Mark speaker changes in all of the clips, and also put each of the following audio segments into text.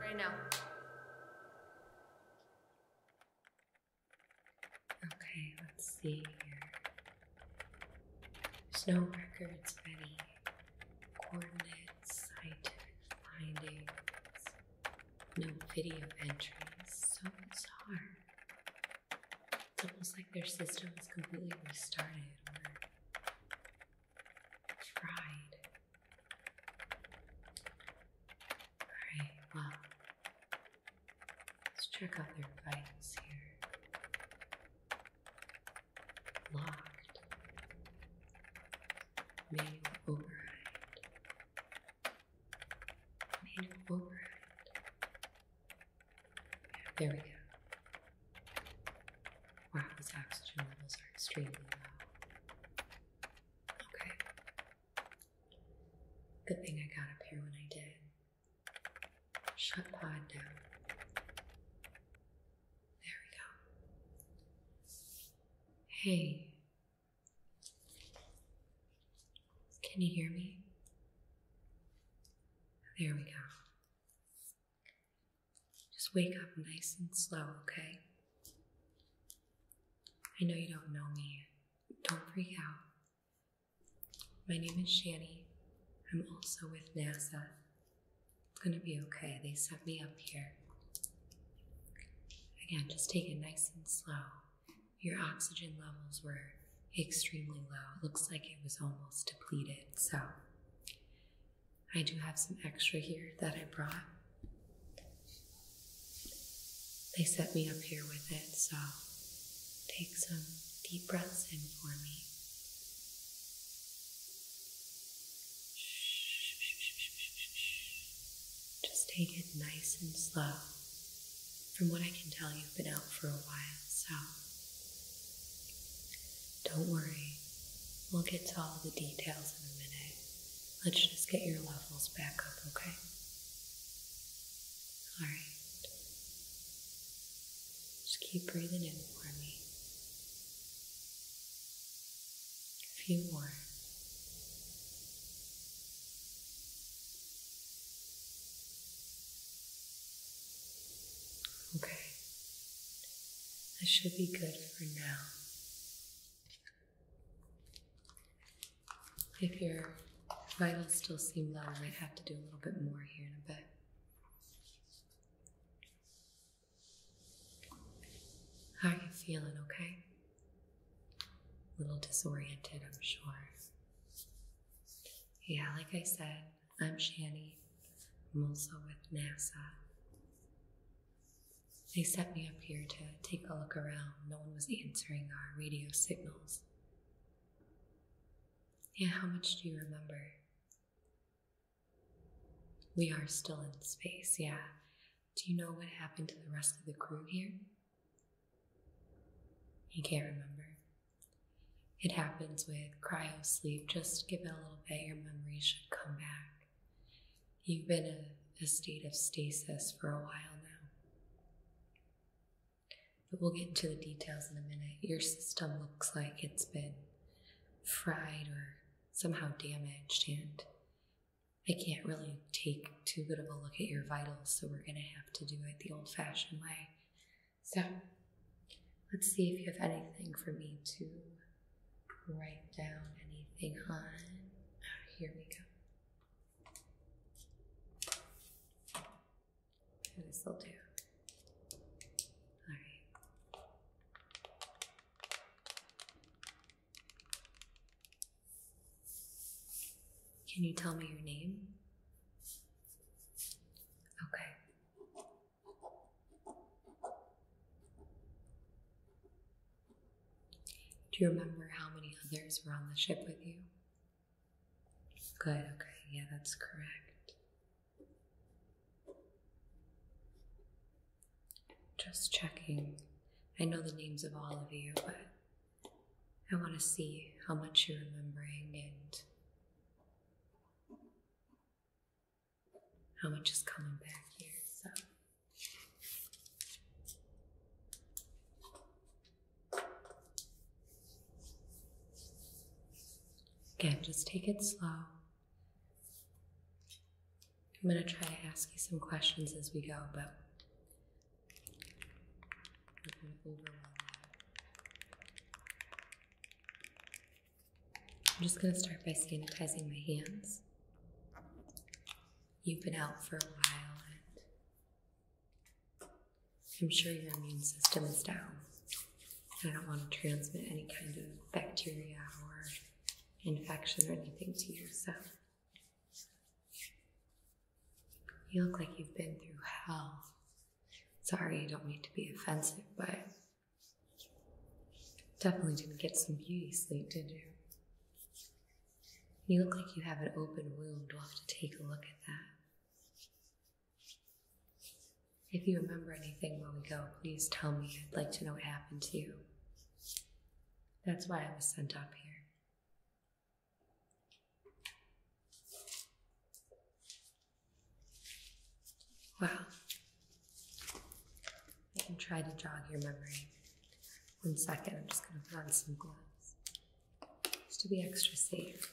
Speaker 1: Right now. Okay, let's see There's no records of any coordinates, scientific findings, no video entries, so it's hard. It's almost like their system was completely restarted or fried. Alright, well, let's check out their vitals here. Locked. Manual override. Lean forward. There we go. Wow, these oxygen levels are extremely low. Okay. Good thing I got up here when I did. Shut pod down. There we go. Hey, can you hear me? There we go. Just wake up nice and slow, okay? I know you don't know me. Don't freak out. My name is Shani. I'm also with NASA. It's gonna be okay. They set me up here. Again, just take it nice and slow your oxygen levels were extremely low. It looks like it was almost depleted. So I do have some extra here that I brought. They set me up here with it, so take some deep breaths in for me. Just take it nice and slow. From what I can tell, you've been out for a while, so don't worry. We'll get to all the details in a minute. Let's just get your levels back up, okay? Alright. Just keep breathing in for me. A few more. Okay, that should be good for now. If your vitals still seem low, I might have to do a little bit more here in a bit. How are you feeling, okay? A little disoriented, I'm sure. Yeah, like I said, I'm Shani. I'm also with NASA. They set me up here to take a look around. No one was answering our radio signals. Yeah, how much do you remember? We are still in space, yeah. Do you know what happened to the rest of the crew here? You can't remember. It happens with cryo sleep. Just give it a little bit, your memory should come back. You've been in a, state of stasis for a while now. But we'll get into the details in a minute. Your system looks like it's been fried or somehow damaged, and I can't really take too good of a look at your vitals, so we're going to have to do it the old fashioned way. So let's see if you have anything for me to write down, anything on. Oh, here we go. this will do. Can you tell me your name? Okay. Do you remember how many others were on the ship with you? Good, okay, yeah, that's correct. Just checking. I know the names of all of you, but I want to see how much you're remembering and how much is coming back here. So. Again, just take it slow. I'm going to try to ask you some questions as we go, but I'm just going to start by sanitizing my hands. You've been out for a while, and I'm sure your immune system is down. I don't want to transmit any kind of bacteria or infection or anything to you, so you look like you've been through hell. Sorry, I don't mean to be offensive, but definitely didn't get some beauty sleep, did you? You look like you have an open wound. We'll have to take a look at that. If you remember anything while we go, please tell me. I'd like to know what happened to you. That's why I was sent up here. Well, I can try to jog your memory. One second, I'm just going to put on some gloves. Just to be extra safe.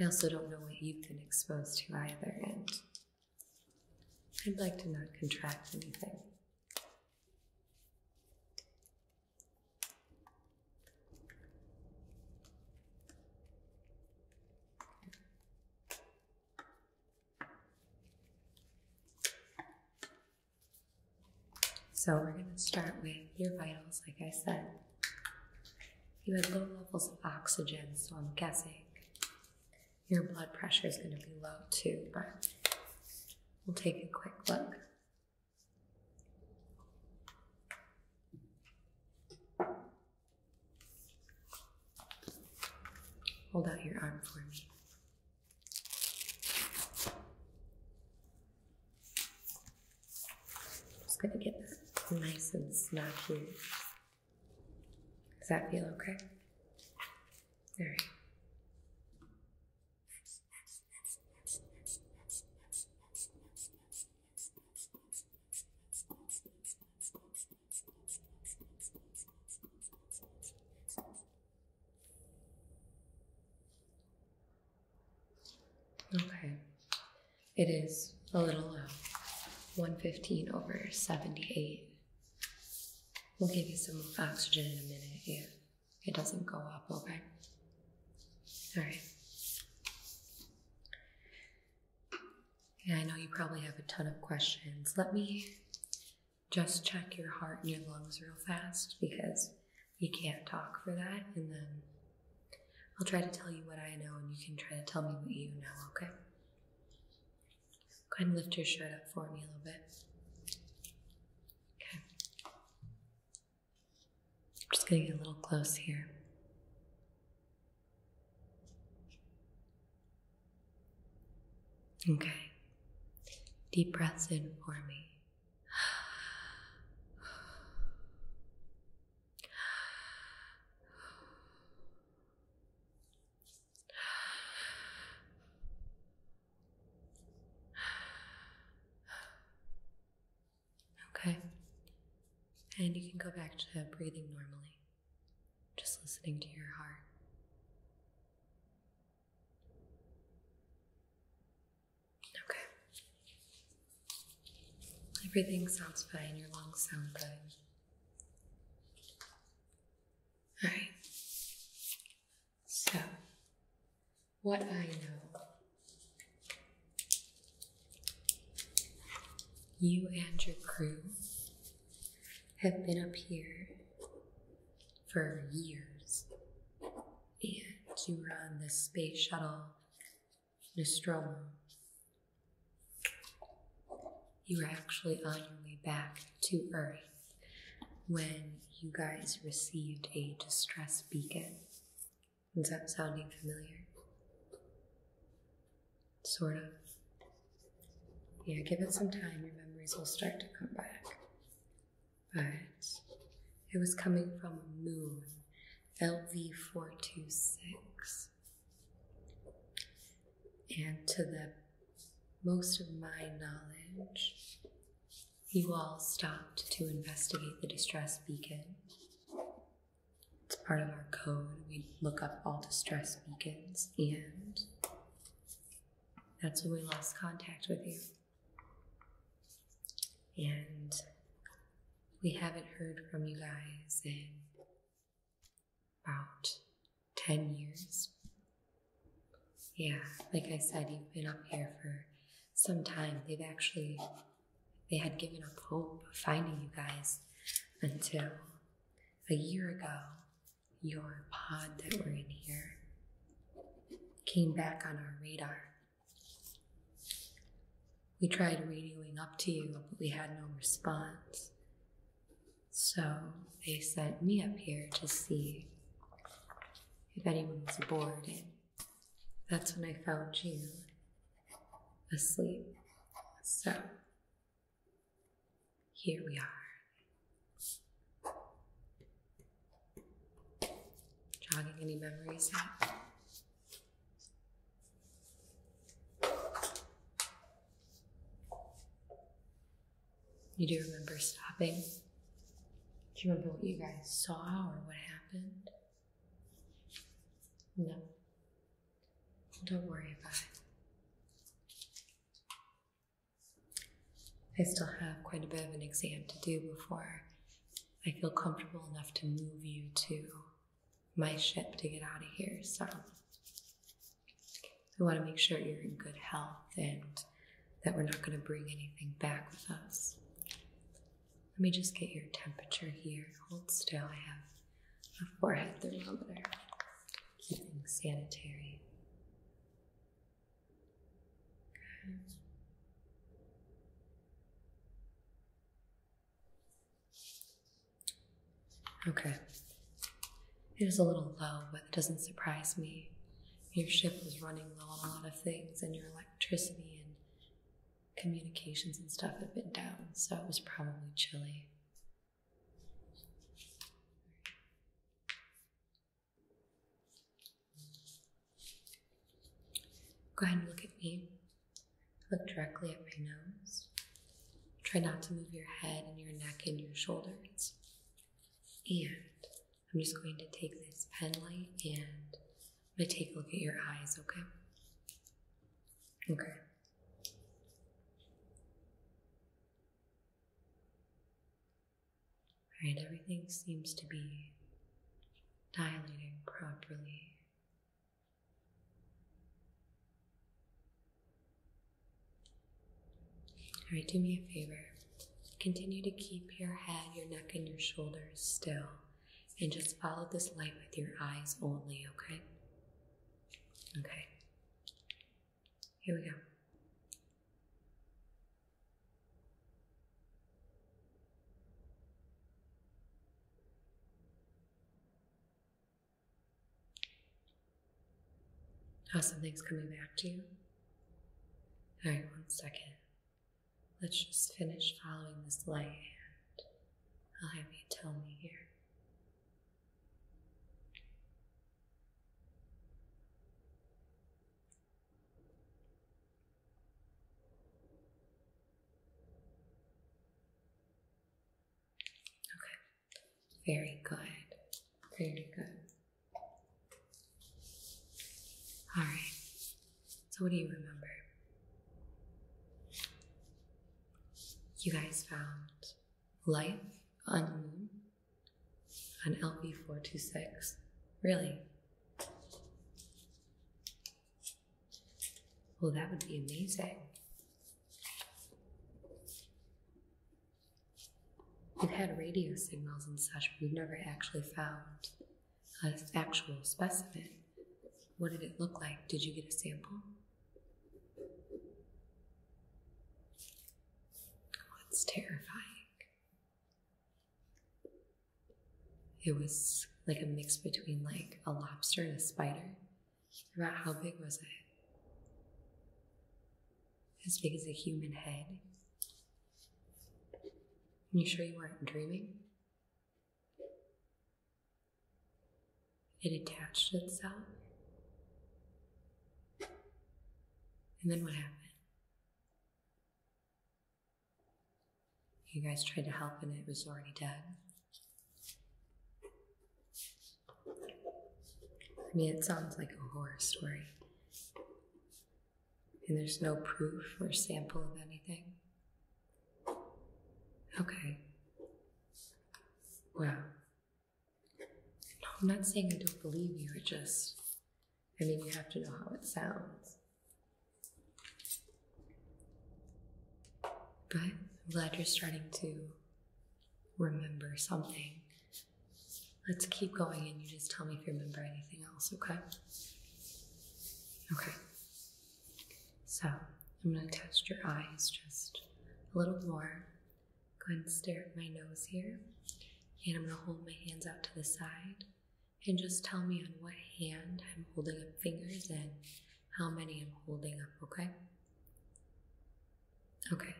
Speaker 1: I also don't know what you've been exposed to either, and I'd like to not contract anything. So we're going to start with your vitals, like I said. You had low levels of oxygen, so I'm guessing your blood pressure is going to be low too, but we'll take a quick look. Hold out your arm for me. just gonna get nice and snug here. Does that feel okay? All right. Okay. It is a little low. Uh, 115 over 78. We'll give you some oxygen in a minute if it doesn't go up, okay? All right. Yeah, I know you probably have a ton of questions. Let me just check your heart and your lungs real fast because you can't talk for that. And then I'll try to tell you what I know and you can try to tell me what you know, okay? Go ahead and lift your shirt up for me a little bit. Okay. I'm just going to get a little close here. Okay. Deep breaths in for me. Okay. And you can go back to breathing normally, just listening to your heart. Okay. Everything sounds fine, your lungs sound good. Alright. So, what I know. You and your crew have been up here for years, and you were on the space shuttle Nostromo. You were actually on your way back to Earth when you guys received a distress beacon is that sounding familiar? Sort of. Yeah, give it some time. Your memories will start to come back. But it was coming from a moon, LV426. And to the most of my knowledge, you all stopped to investigate the distress beacon it's part of our code. We look up all distress beacons, and that's when we lost contact with you. And we haven't heard from you guys in about 10 years. Yeah, like I said, you've been up here for some time. They've actually they had given up hope of finding you guys until a year ago, your pod that we're in here came back on our radar. We tried radioing up to you, but we had no response. So they sent me up here to see if anyone was aboard. That's when I found you asleep. So here we are. Jogging any memories out. You do remember stopping? Do you remember what you guys saw or what happened? No. Don't worry about it. I still have quite a bit of an exam to do before I feel comfortable enough to move you to my ship to get out of here. So we want to make sure you're in good health and that we're not going to bring anything back with us. Let me just get your temperature here. Hold still. I have a forehead thermometer. Keeping sanitary. Good. Okay. It is a little low, but it doesn't surprise me. Your ship was running low on a lot of things, and your electricity and communications and stuff have been down, so it was probably chilly. Go ahead and look at me. Look directly at my nose. Try not to move your head and your neck and your shoulders. And I'm just going to take this pen light and I'm going to take a look at your eyes, okay? Okay. Alright, everything seems to be dilating properly. Alright, do me a favor. Continue to keep your head, your neck, and your shoulders still and just follow this light with your eyes only, okay? Okay. Here we go. How something's coming back to you? All right, one second. Let's just finish following this light hand. I'll have you tell me here. Okay, very good, very good. All right, so, what do you remember? You guys found life on the moon on LP 426. Really? Well, that would be amazing. We've had radio signals and such, but we've never actually found an actual specimen. What did it look like? Did you get a sample? Oh, terrifying. It was like a mix between like a lobster and a spider. About how big was it? As big as a human head. You sure you weren't dreaming? It attached itself. And then what happened? You guys tried to help and it was already dead. I mean, it sounds like a horror story. And there's no proof or sample of anything. Okay. Well, no, I'm not saying I don't believe you, it just, I mean, you have to know how it sounds. But I'm glad you're starting to remember something. Let's keep going and you just tell me if you remember anything else, okay? Okay. So I'm going to test your eyes just a little more. Go ahead and stare at my nose here. And I'm going to hold my hands out to the side. And just tell me on what hand I'm holding up fingers and how many I'm holding up, okay? Okay,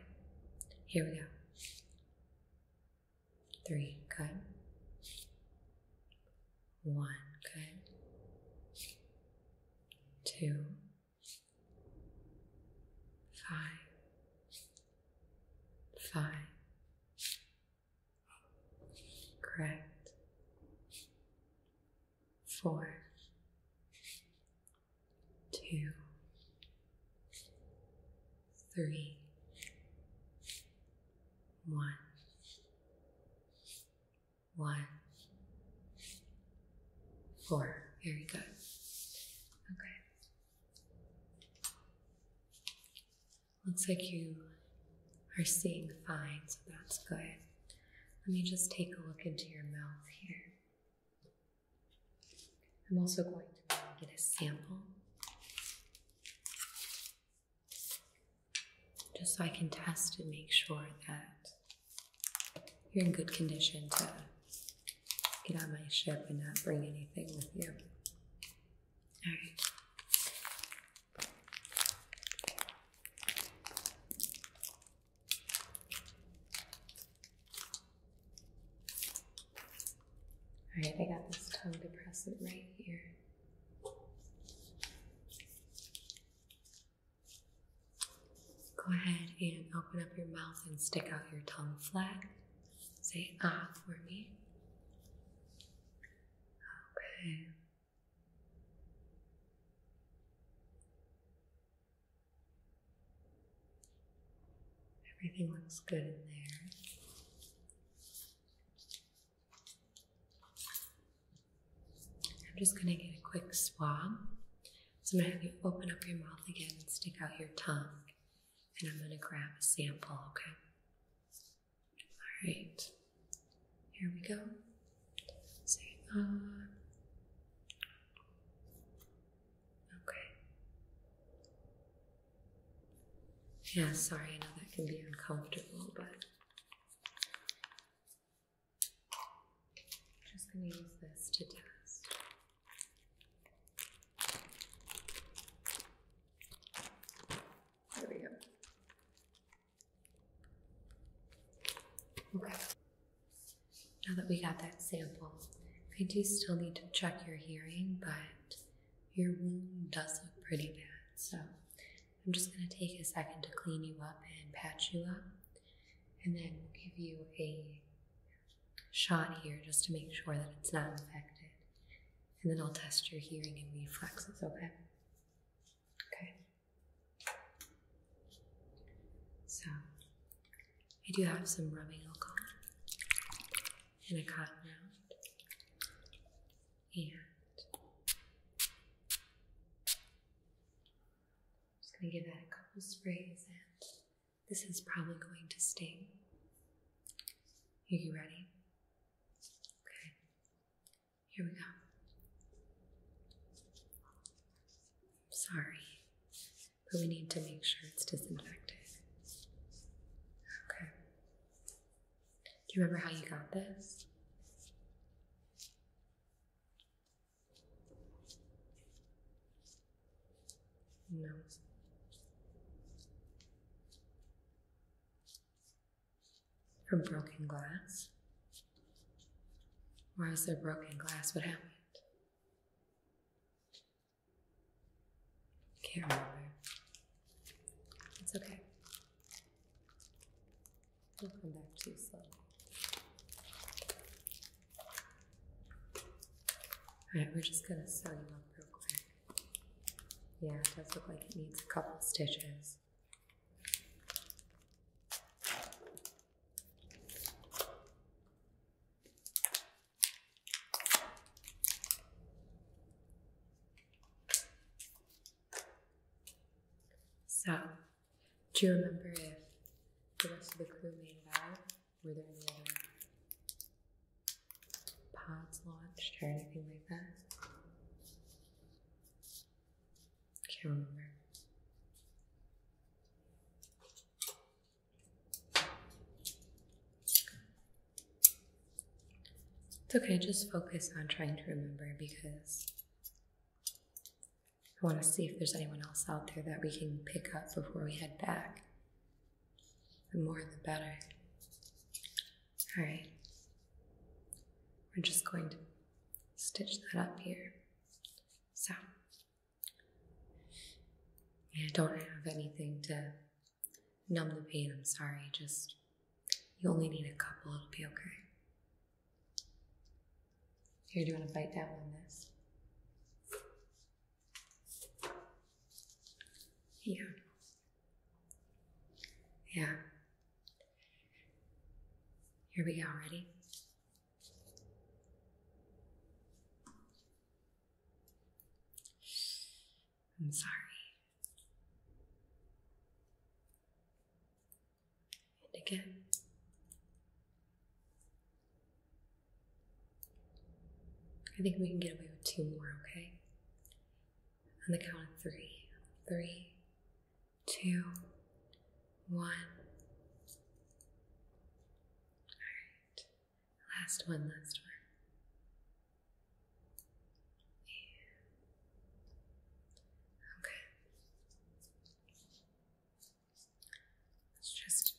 Speaker 1: here we go. Three, good. One, good. Two, five, five. Correct. Four, two, three, one one, four. Very good. Okay. Looks like you are seeing fine, so that's good. Let me just take a look into your mouth here. I'm also going to get a sample just so I can test and make sure that you're in good condition to get on my ship and not bring anything with you. All right. All right, I got this tongue depressor right here. Go ahead and open up your mouth and stick out your tongue flat. Say ah for me. Okay. Everything looks good in there. I'm just going to get a quick swab. So I'm going to have you open up your mouth again and stick out your tongue. And I'm going to grab a sample, okay? All right. Here we go. Say, ah. uh, Yeah, sorry, I know that can be uncomfortable, but just going to use this to test. There we go. Okay. Now that we got that sample, I do still need to check your hearing, but your wound does look pretty bad. So I'm just going to take a second to clean you up and patch you up, and then give you a shot here just to make sure that it's not infected. And then I'll test your hearing and reflexes, okay? Okay. So, I do have some rubbing alcohol and a cotton round. And I'm just going to give that a couple sprays, and this is probably going to sting. you ready? Okay, here we go. sorry, but we need to make sure it's disinfected. Okay. Do you remember how you got this? No. From broken glass? Why is there broken glass? What happened? can It's okay we will come back to you soon. Alright, we're just gonna sew you up real quick. Yeah, it does look like it needs a couple stitches. So do you remember if the rest of the crew made it out? Were there any other pods launched or anything like that? Can't remember. It's okay, just focus on trying to remember because I want to see if there's anyone else out there that we can pick up before we head back. The more, the better. All right. We're just going to stitch that up here. So, I don't have anything to numb the pain, I'm sorry. Just, you only need a couple, it'll be okay. Here, do you want to bite down on this? Yeah. Yeah. Here we go. Ready? I'm sorry and again. I think we can get away with two more, okay? On the count of three. Three, two, one. Alright. Last one, last one. Okay. Let's just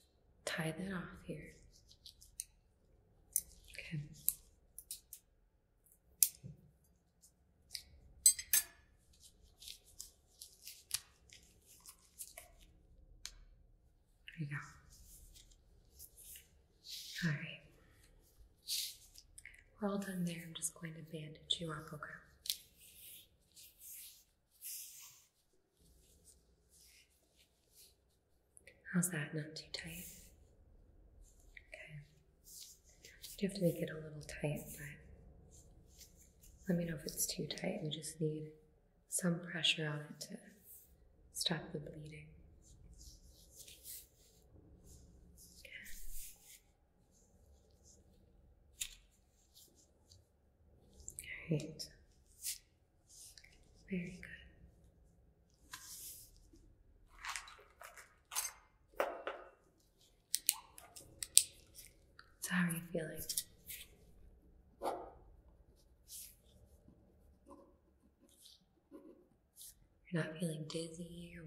Speaker 1: tie that off here. Okay. There you go. All right. We're all done there. I'm just going to bandage you up, okay? How's that? Not too tight? Okay. You have to make it a little tight, but let me know if it's too tight. You just need some pressure on it to stop the bleeding. Okay. All right. Very good. So, how are you feeling? You're not feeling dizzy or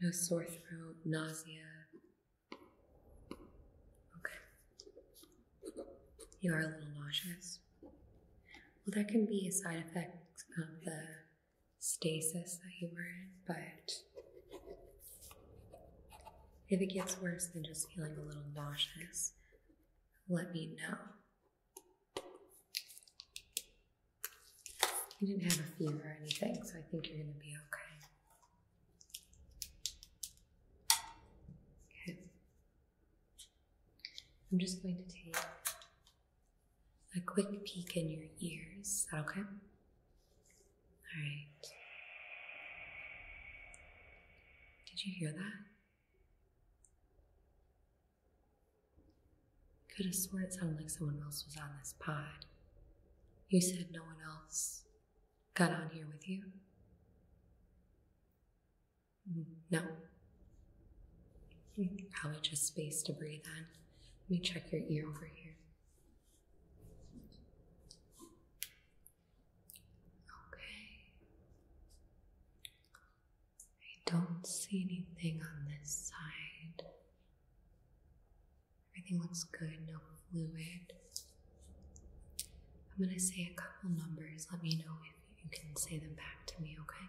Speaker 1: no sore throat, nausea. Okay. You are a little nauseous. Well, that can be a side effect of the stasis that you were in, but if it gets worse than just feeling a little nauseous, let me know. You didn't have a fever or anything, so I think you're going to be okay. Okay. I'm just going to take a quick peek in your ears. that okay? All right. Did you hear that? Could have sworn it sounded like someone else was on this pod. You said no one else got on here with you? No. Probably just space to breathe on. Let me check your ear over here. Okay. I don't see anything on this side. Everything looks good, no fluid. I'm gonna say a couple numbers. Let me know if you can say them back to me, okay?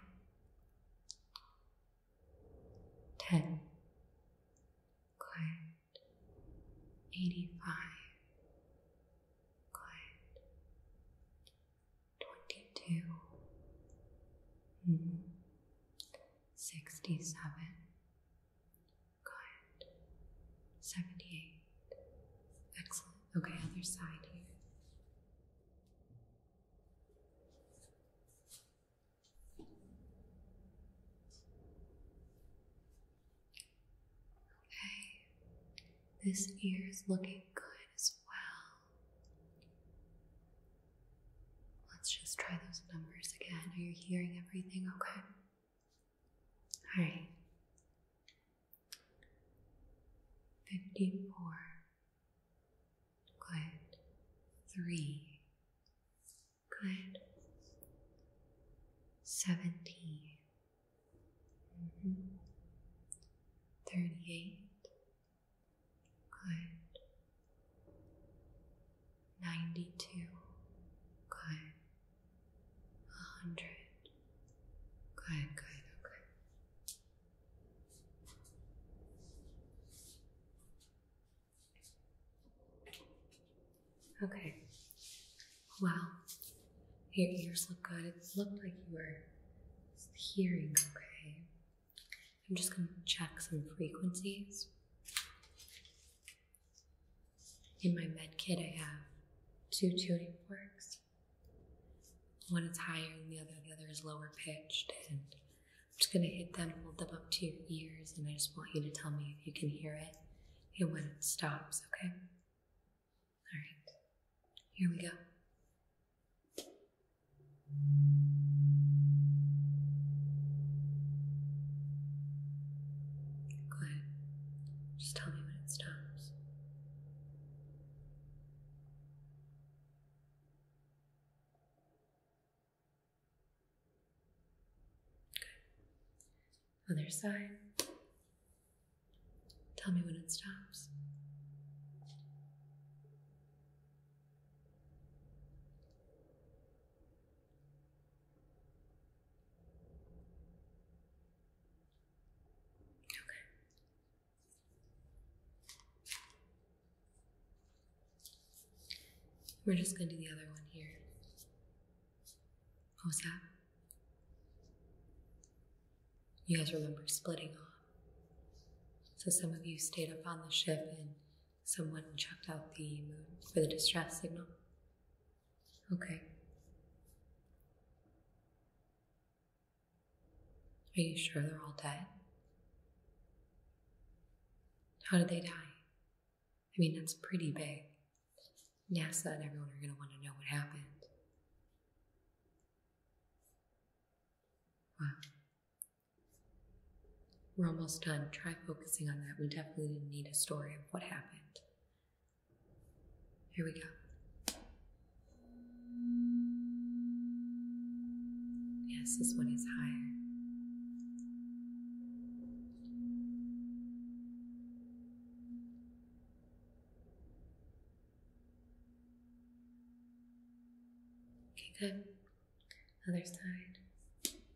Speaker 1: 10. Good. 85. Good. 22. -hmm. 67. Good. 78. Excellent. Okay, other side here. Okay, this ear is looking good as well. Let's just try those numbers again. Are you hearing everything okay? All right. 54. Good. 3. Good. 17. Mm-hmm. 38. Good. 92. Good. 100. Good, good, okay. Okay. Wow. Your ears look good. It looked like you were hearing okay. I'm just going to check some frequencies. In my med kit, I have two tuning forks. One is higher than the other, the other is lower pitched. And I'm just going to hit them, hold them up to your ears, and I just want you to tell me if you can hear it and when it stops, okay? All right, here we go. Good. Just tell me when it stops. Good. Other side. Tell me when it stops. Okay. We're just going to do the other one here. What was that? You guys remember splitting off. So some of you stayed up on the ship and Someone chucked out the moon for the distress signal. Okay. Are you sure they're all dead? How did they die? I mean, that's pretty big. NASA and everyone are going to want to know what happened. Wow. We're almost done. Try focusing on that. We definitely didn't need a story of what happened. Here we go. Yes, this one is higher. Okay, good. Other side.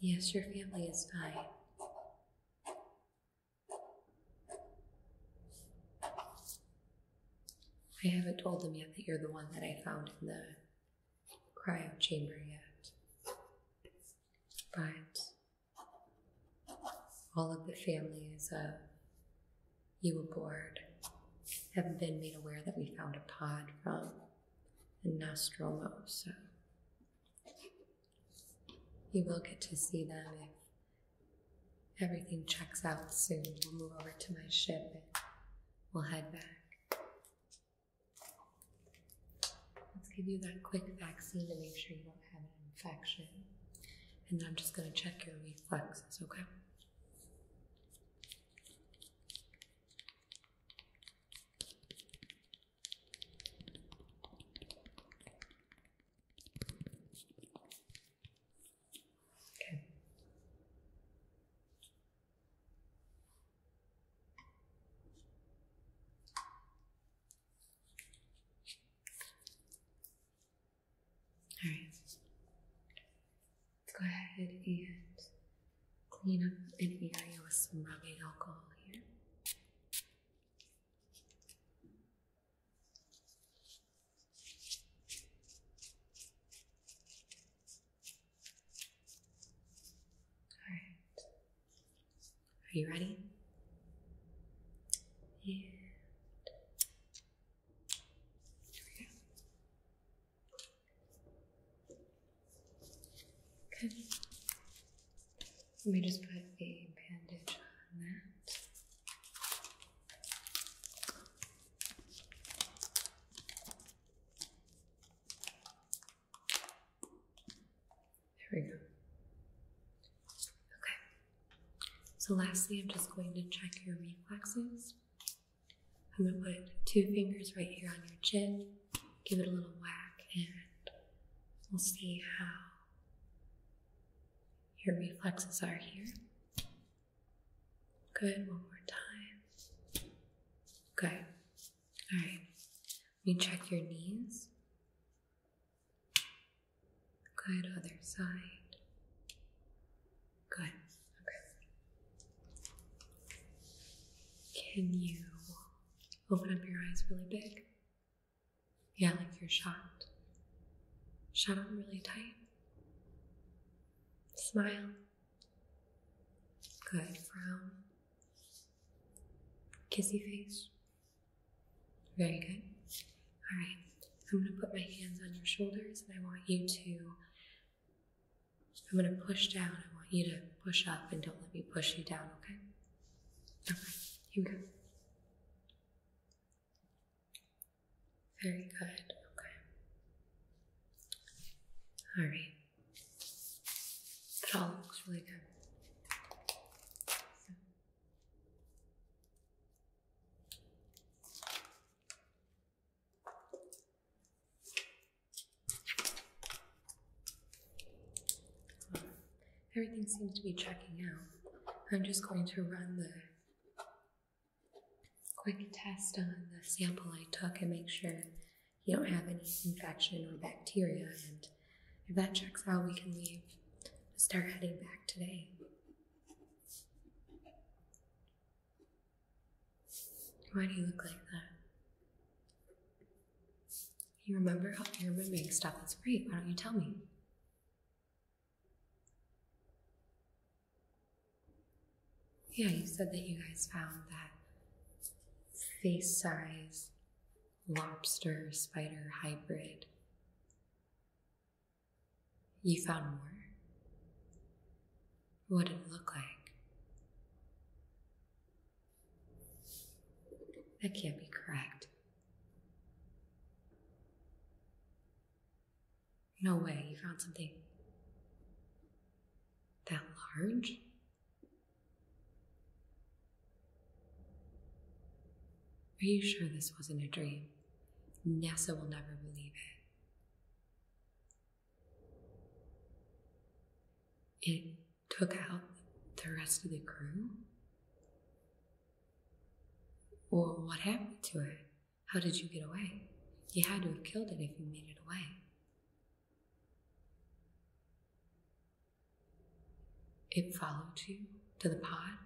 Speaker 1: Yes, your family is fine. I haven't told them yet that you're the one that I found in the cryo chamber yet. But all of the families of you aboard have been made aware that we found a pod from and nostril So You will get to see them if everything checks out soon. We'll move over to my ship and we'll head back. Let's give you that quick vaccine to make sure you don't have an infection. And I'm just going to check your reflexes, okay? Okay. All right. Let's go ahead and clean up any area with some rubbing alcohol here. All right. Are you ready? And here we go. Good. Let me just put a bandage on that. There we go. Okay. So, lastly, I'm just going to check your reflexes. I'm going to put two fingers right here on your chin give it a little whack, and we'll see how your reflexes are here. Good, one more time. Good. All right, let me check your knees. Good, other side. Good, okay. Can you Open up your eyes really big. Yeah, like you're shot. Shut them really tight. Smile. Good. Frown. Kissy face. Very good. All right. I'm going to put my hands on your shoulders and I want you to. I'm going to push down. I want you to push up and don't let me push you down, okay? All right, you go. Very good. Okay. All right. It all looks really good everything seems to be checking out. I'm just going to run the quick test on the sample I took and make sure you don't have any infection or bacteria. And if that checks out, we can leave. Start heading back today. Why do you look like that? You remember how oh, your room makes stuff? That's great. Why don't you tell me? Yeah, you said that you guys found that face size lobster spider hybrid. You found more? What did it look like? That can't be correct. No way, you found something that large? Are you sure this wasn't a dream? NASA will never believe it. It took out the rest of the crew? Or what happened to it? How did you get away? You had to have killed it if you made it away. It followed you to the pod.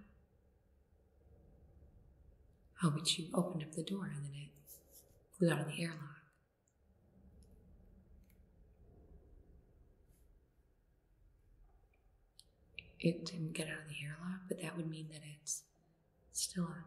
Speaker 1: Oh, but you opened up the door and then it flew out of the airlock. It didn't get out of the airlock, but that would mean that it's still on.